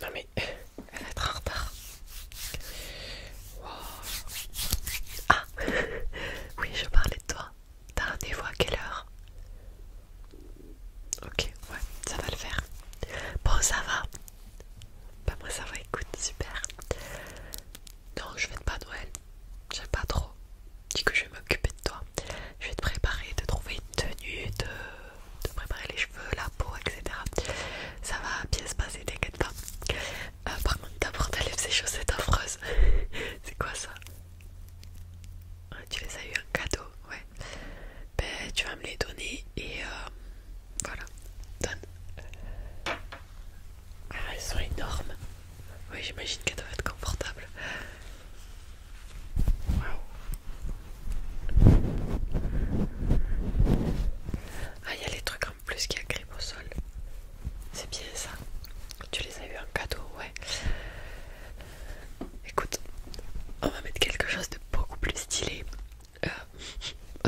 Non mais elle va être en retard. Ah oui je parlais de toi. T'as rendez-vous à quelle heure Ok ouais ça va le faire. Bon ça va. Bah moi ça va écoute super. Non je vais de pas Noël. J'aime pas trop. Dis que je vais m'occuper de toi. Je vais te préparer, te trouver une tenue de de préparer les cheveux, la peau, etc. Ça va bien se passer, t'inquiète pas. Euh, par contre, d'abord, faire ces chaussettes affreuses. C'est quoi ça Tu les as eu en cadeau, ouais. Ben, tu vas me les donner et euh, voilà. Donne. Ah, elles sont énormes. Oui, j'imagine qu'elles doivent être confortables. Ah, il y a les trucs en plus qui agrippent au sol. C'est bien ça. Tu les as eu en cadeau, ouais. Écoute, on va mettre quelque chose de beaucoup plus stylé. Euh,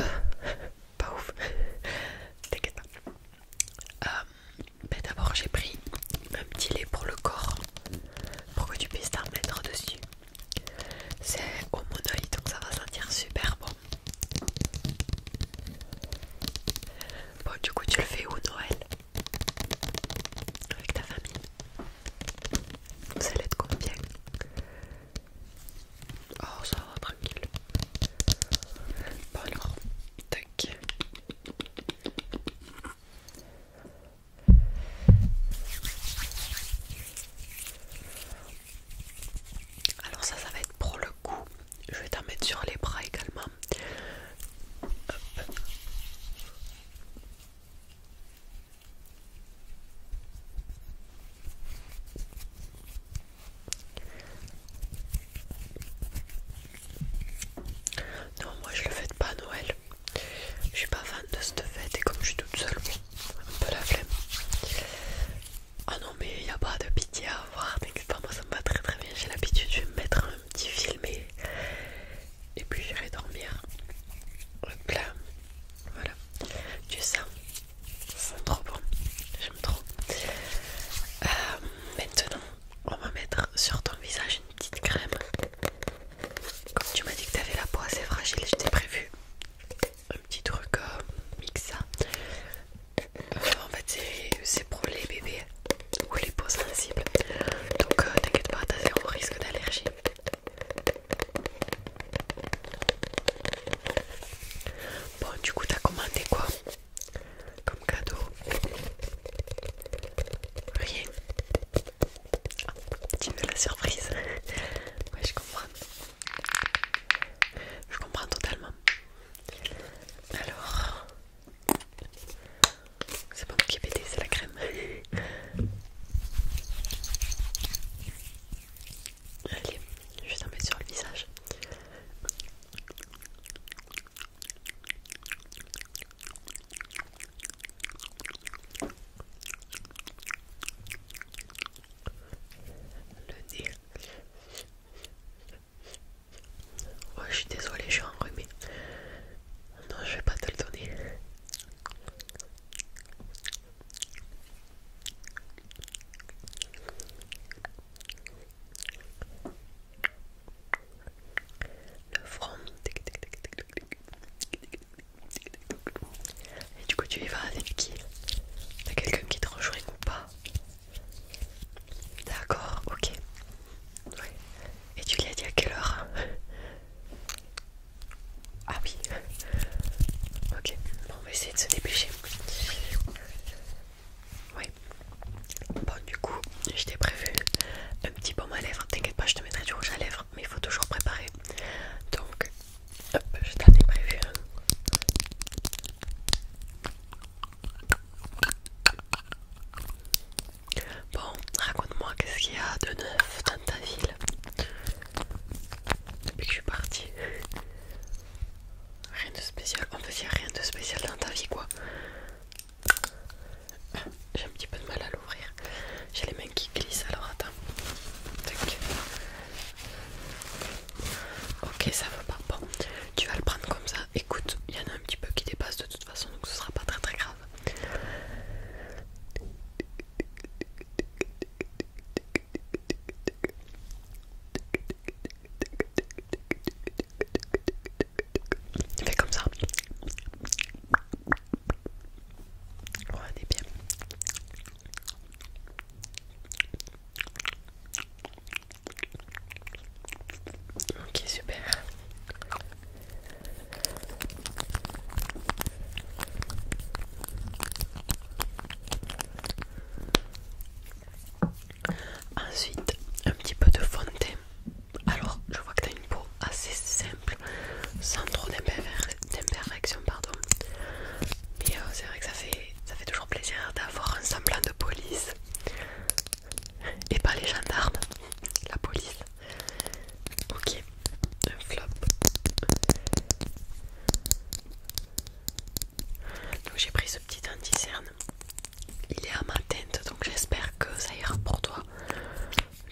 euh, pas ouf. T'inquiète pas. Euh, ben d'abord, j'ai pris un petit lait pour le corps pour que tu puisses t'en mettre dessus. C'est au monoï donc ça va sentir super bon. Bon, du coup, tu le fais où Noël Avec ta famille Ça allez être combien Oh, ça va, tranquille. Bon, alors, tac. Alors ça, ça va être pour le coup Je vais t'en mettre sur les bras également. Non, moi je le fais pas à Noël. Je suis pas fan de cette fête et comme je suis toute seule, un peu la flemme. Ah non, mais il n'y a pas de pitié à avoir, t'inquiète pas, moi ça me va très très bien. J'ai l'habitude, je vais me mettre un petit film et, puis j'irai dormir. Hop là, voilà. Tu sens c'est trop bon, j'aime trop. Euh, maintenant, on va mettre sur ton visage une petite crème. Comme tu m'as dit que t'avais la peau assez fragile, je prévu un petit truc euh, mixa. Euh, en fait, c'est pour les bébés ou les peaux sensibles. Donc euh, t'inquiète pas, t'as zéro risque d'allergie. Bon, du coup, t'as commandé quoi comme cadeau Rien. Tu veux la surprise Ouais, je comprends. Je comprends totalement. Alors, c'est pas moi qui ai pété, c'est la crème. Allez, je vais t'en mettre sur le visage. Le dire Oh je suis désolé, je suis enrhumée. Non, je vais pas te le donner le front et du coup tu y vas avec qui T'as quelqu'un qui te rejoigne ou pas D'accord, ok. Et tu lui as dit à quelle heure Ah oui. Ok, bon, on va essayer de se dépêcher. Oui Bon du coup je t'ai prévu un petit baume à lèvres, t'inquiète pas je te mettrai du rouge à lèvres mais il faut toujours préparer donc hop je t'en ai prévu un. Bon raconte-moi qu'est-ce qu'il y a de neuf dans ta ville depuis que je suis partie Rien de spécial, On peut dire rien de spécial dans ta vie quoi j'ai un petit peu de mal à l'ouvrir. J'ai les mains qui glissent alors attends. Ok, ça va pas. Bon, tu vas le prendre comme ça. Écoute, il y en a un petit peu qui dépasse de toute façon, donc ce sera pas très très grave. Fais comme ça. Oh, on est bien. Ok, super. Ensuite, un petit peu de fondé alors je vois que t'as une peau assez simple, sans trop d'imperfections, pardon. Mais euh, c'est vrai que ça fait, ça fait toujours plaisir d'avoir un semblant de police. Et pas les gendarmes, la police. Ok, un flop. Donc j'ai pris ce petit anti-cerne il est à ma teinte donc j'espère que ça ira pour toi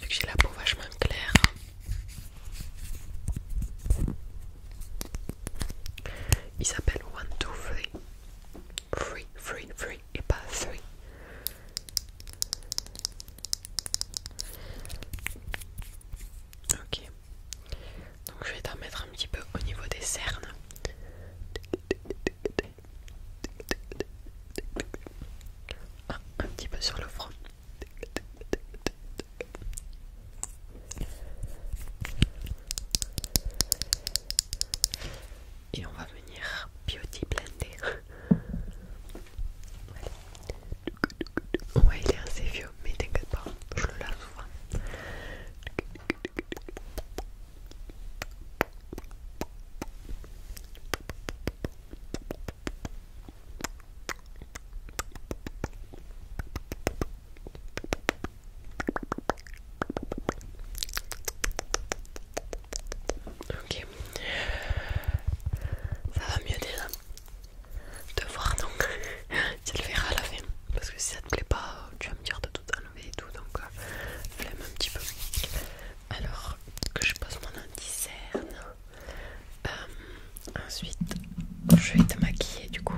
vu que j'ai la peau vachement claire il s'appelle One Two Free Free Free Free et pas three ok donc je vais t'en mettre un petit peu au niveau des cernes un petit peu sur le front. Et on va venir beauty blender. Ouais, il est assez vieux, mais t'inquiète pas, je le lave souvent. Ok, ça va mieux déjà de voir donc tu le verras à la fin parce que si ça te plaît pas tu vas me dire de tout enlevé et tout, donc je euh, flemme un petit peu. Alors que je pose mon anti euh, ensuite, je vais te maquiller du coup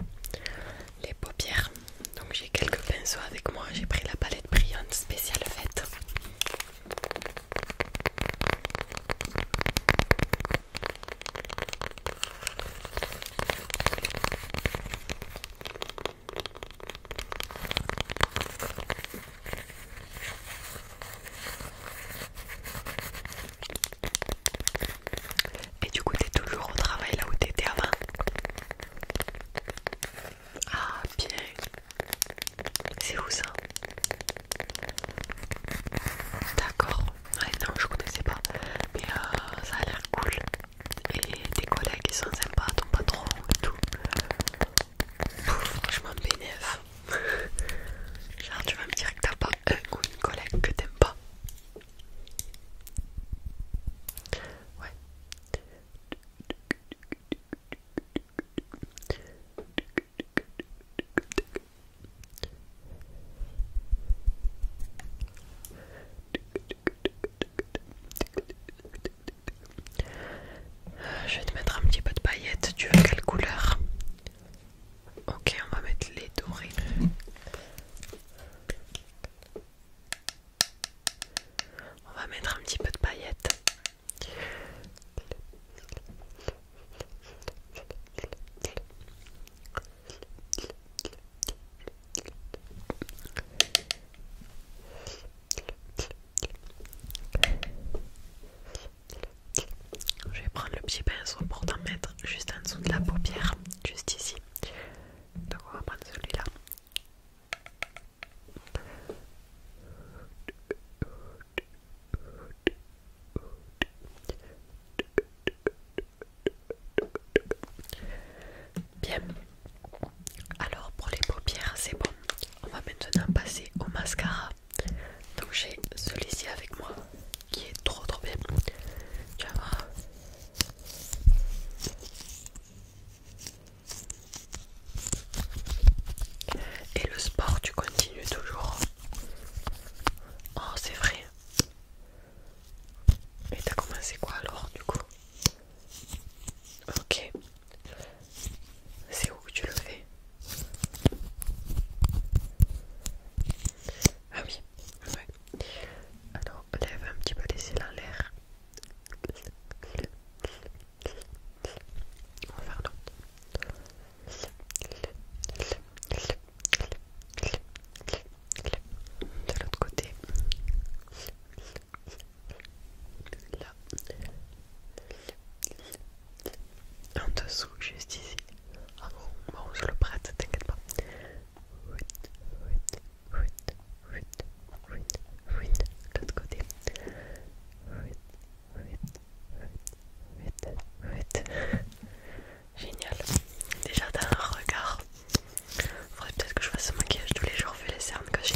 les paupières. Donc j'ai quelques pinceaux avec moi. J'ai pris la palette brillante spéciale faite. Et du coup, t'es toujours au travail là où t'étais avant Ah, bien. C'est où ça D'accord. Ouais, non, je connaissais pas. Mais euh, ça a l'air cool et tes collègues qui sont sympas, ton patron et tout. Euh, franchement, bénéf. Genre, tu vas me dire que t'as pas un ou une collègue que t'aimes pas. Ouais. Euh, je vais te mettre un petit peu de paillettes. Tu veux quelle couleur Ok, on va mettre les dorés. On va mettre un petit peu de paillettes. Je vais prendre le petit pinceau pour t'en mettre juste en dessous de la paupière, juste ici. Donc on va prendre celui-là. Bien, alors pour les paupières, c'est bon. On va maintenant passer au mascara. Donc j'ai celui-ci avec moi qui est trop trop bien. Tu vas voir. Et le sport, tu continues toujours. Oh, c'est vrai. Et t'as commencé quoi alors du coup Ok. C'est où que tu le fais Ah oui, ouais. Alors, lève un petit peu les cils en l'air. On va faire l'autre de l'autre côté là en dessous juste ici ah bon, bon je le prête t'inquiète pas de l'autre côté Génial. Déjà dans un regard. Faudrait peut-être que je fasse ce maquillage tous les jours vu les cernes que j'ai.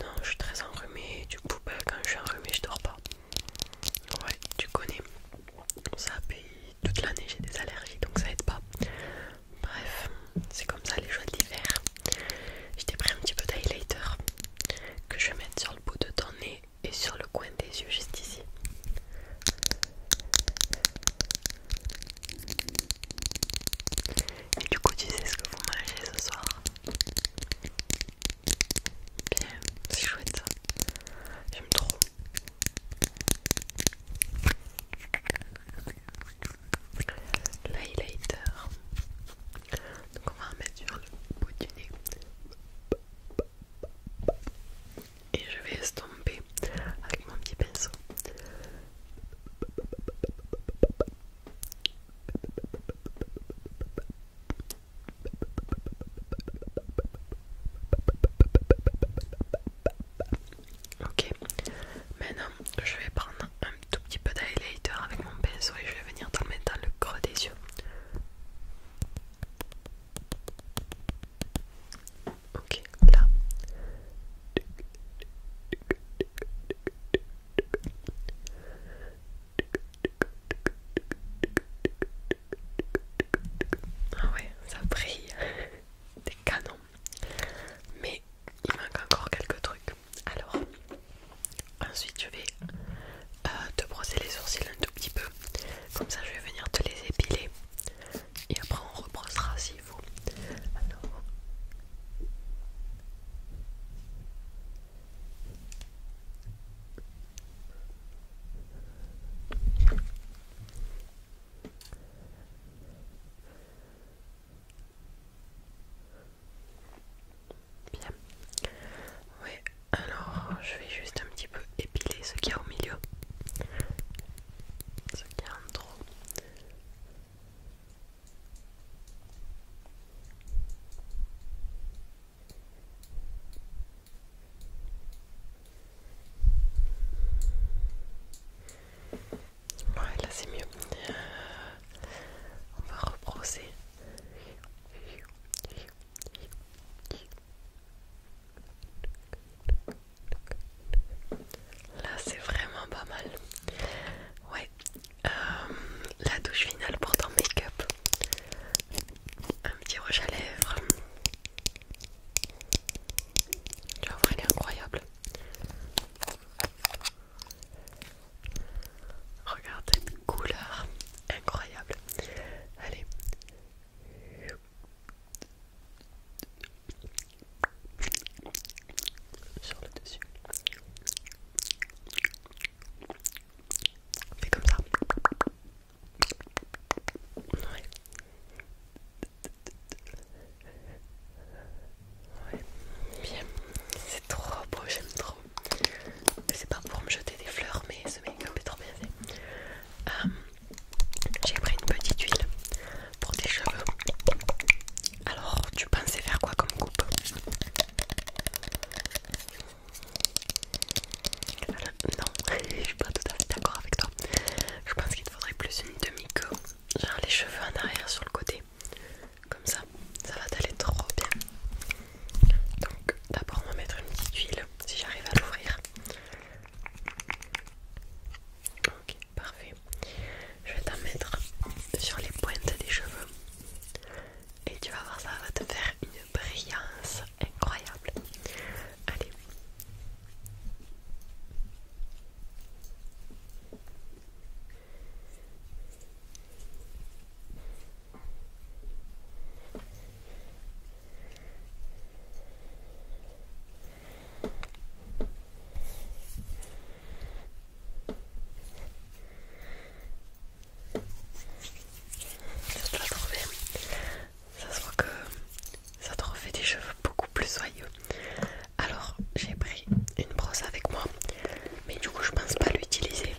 Non, je suis très enrhumée. Du coup, bah, quand je suis enrhumée, je dors pas. Ouais, tu connais. Ça paye toute l'année, j'ai des allergies donc ça aide pas. Bref, c'est comme ça les joies de l'hiver. Je t'ai pris un petit peu d'highlighter que je vais mettre sur le bout de ton nez et sur le coin des yeux, juste ici. Et du coup, tu sais ce que vous mangez ce soir Bien, c'est chouette ça. J'aime trop. L'highlighter. Donc on va en mettre sur le bout du nez et je vais estomper avec mon petit pinceau. Ok, maintenant je vais prendre un tout petit peu d'highlighter avec mon pinceau et je vais venir dans le mettre dans le creux des yeux. Ok, là. Ah ouais, ça brille. Des canons. Mais il manque encore quelques trucs. Alors, ensuite je vais euh, te brosser les sourcils un tout petit peu. Comme ça, je vais venir te les épiler. Et après, on rebrossera s'il faut. Bien. Ouais, alors je vais juste un petit peu épiler ce qu'il y a au milieu. Ce qu'il y a en trop. Ouais, là c'est mieux. Euh, on va rebrosser. Là c'est vraiment pas mal. Ouais. Euh, la douche finale pour ton make-up. Un petit rouge à lèvres. vas voir, elle est incroyable. Regardez couleur incroyable. Allez. Sur le dessus. Fais comme ça. Bien. C'est trop beau, j'aime trop. C'est pas pour me jeter des fleurs, mais ce make-up est trop bien fait. Euh, j'ai pris une petite huile pour tes cheveux. Alors, tu pensais faire quoi comme coupe euh, non, je suis pas tout à fait d'accord avec toi. Je pense qu'il te faudrait plus une demi co genre les cheveux en arrière sur le côté, comme ça ça va t'aller trop bien. Donc d'abord on va mettre une petite huile si j'arrive à l'ouvrir. Ok, parfait. Je vais t'en mettre sur les pointes des cheveux et tu vas voir ça va te faire une brillance incroyable. Allez. Ça, trouvé. ça se voit que ça te refait des cheveux beaucoup plus soyeux. Alors j'ai pris une brosse avec moi, mais du coup je pense pas l'utiliser.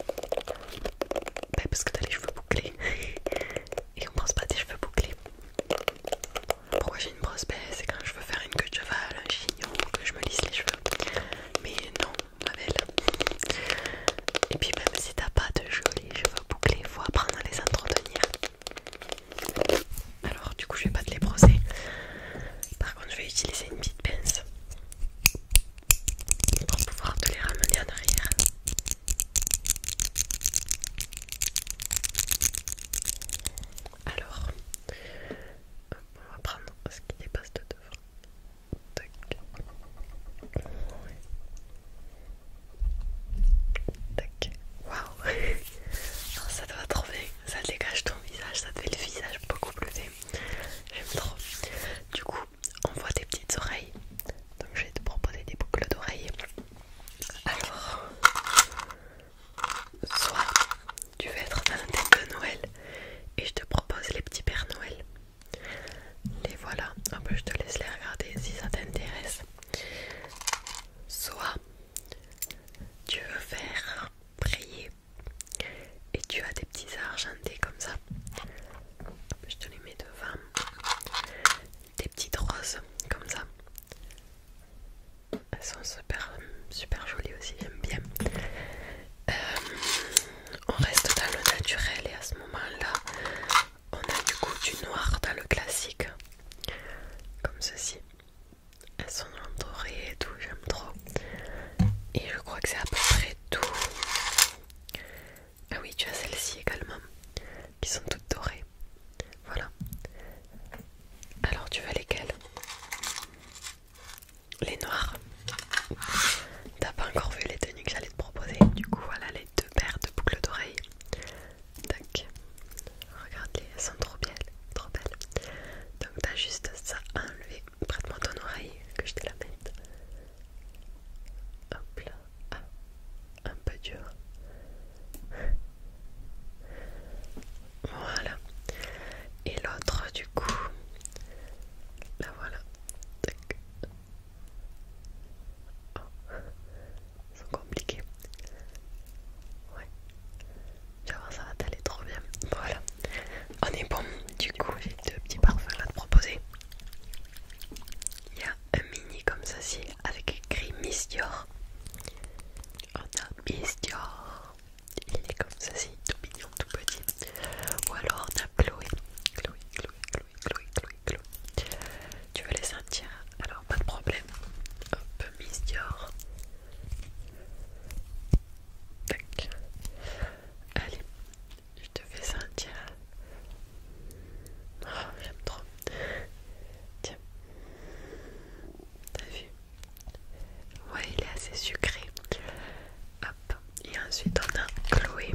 Bah, parce que t'as les cheveux bouclés et on pense pas tes cheveux bouclés. Pourquoi j'ai une brosse baisse C'est quand je veux faire une queue de cheval, un chignon, que je me lisse les cheveux. Mais non, ma belle. Et puis même si t'as pas de jolis cheveux bouclés, faut apprendre à les entretenir. Alors du coup je vais pas te les brosser. Par contre je vais utiliser une petite pince pour pouvoir te les ramener en arrière. Alors, on va prendre ce qui dépasse de devant. Tac. Tac. Waouh! Ça te va trop bien, ça dégage ton visage, ça te fait le visage beaucoup plus fin. J'aime trop. Du coup, on voit des petites oreilles. Donc, je vais te proposer des boucles d'oreilles. Alors, soit tu veux être dans la tête de Noël et je te propose les petits Pères Noël. Les voilà. peu, je te laisse les regarder si ça t'intéresse. Soit tu veux faire prier et tu as des petits argentés comme ça. Je te les mets devant. Des petites roses comme ça. Elles sont super, super jolies aussi, j'aime bien. Euh, on reste dans le naturel et à ce moment-là, on a du coup du noir dans le classique, comme ceci doré et tout, j'aime trop. Et je crois que c'est à peu près tout. Ah oui, tu as celles-ci également, qui sont toutes dorées. Voilà. Alors tu veux lesquelles Les noires. T'as pas encore vu les tenues que j'allais te proposer. Du coup, voilà les deux paires de boucles d'oreilles. Tac. Regarde-les, elles sont trop belles. Trop belles. Donc t'as juste ça à enlever prête-moi ton oreille que je te la mette. Hop là, ah, un peu dur. Voilà. Et l'autre du coup, là voilà. Oh, ils sont compliqués. Ouais. Tu ça va t'aller trop bien. Voilà, on ah, est bon. Du coup, j'ai deux petits parfums à te proposer. Il y a un mini comme ceci avec écrit Miss Dior. Oh, on a Miss Dior. Il est comme ceci, tout mignon, tout petit. Ou alors on a Chloé. Chloé, Chloé, Chloé, Chloé, Chloé, Chloé. Tu veux les sentir Alors pas de problème. Hop, Miss Dior. Allez, je te fais sentir. Oh, j'aime trop. Tiens. T'as vu Ouais, il est assez sucré. Hop. Et ensuite, on a Chloé.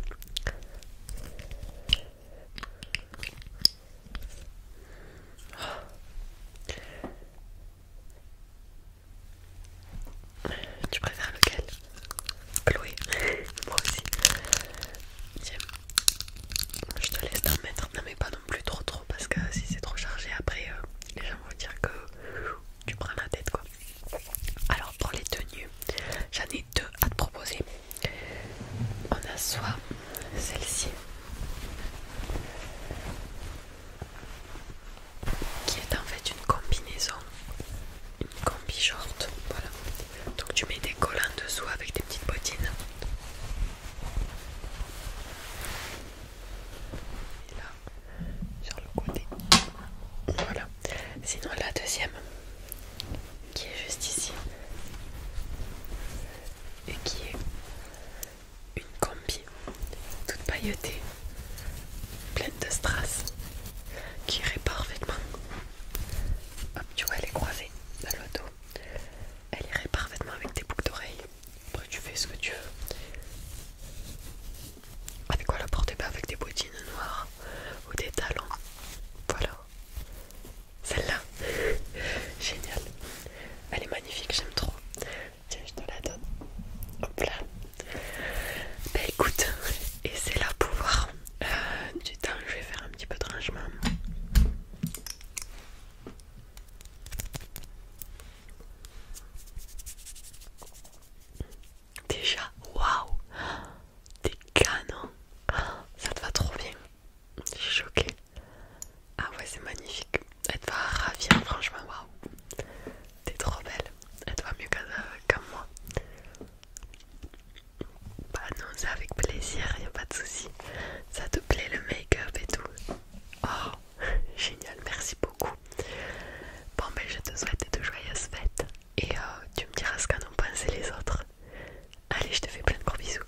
Oh. Tu préfères lequel Chloé, moi aussi. Tiens, je te laisse t'en mettre. Non, mais pas non plus trop trop parce que si c'est trop chargé, après euh, les gens vont dire que tu prends la tête quoi. Alors pour les tenues, j'en ai deux à te proposer. On a soit celle-ci qui est en fait une combinaison, une combi short, voilà. Donc tu mets des collants dessous avec des petites bottines. Et là, sur le côté. Voilà. Sinon la deuxième, qui est juste ici, et qui est une combi toute pailletée, pleine de strass, qui irait parfaitement. Hop, tu vois, elle est croisée dans le dos. Elle irait parfaitement avec des boucles d'oreilles. Après, tu fais ce que tu veux. Avec quoi la porter pas Avec des bottines noires ou des talons. Voilà. Celle-là. Génial. Elle est magnifique, j'aime trop. Tiens, je te la donne. Hop là. Bah écoute, et c'est là pour voir du euh, Je vais faire un petit peu de rangement. Déjà, waouh, des canons, ça te va trop bien. Je choquée. Ah ouais, c'est magnifique. Elle te va ravir, franchement, waouh. T'es trop belle. Elle te va mieux qu'à euh, moi. Bah non, c'est avec plaisir, y a pas de souci. Ça te plaît le make-up et tout Oh, génial, merci beaucoup. Bon, ben je te souhaite de joyeuses fêtes et euh, tu me diras ce qu'en ont pensé les autres. Allez, je te fais plein de gros bisous.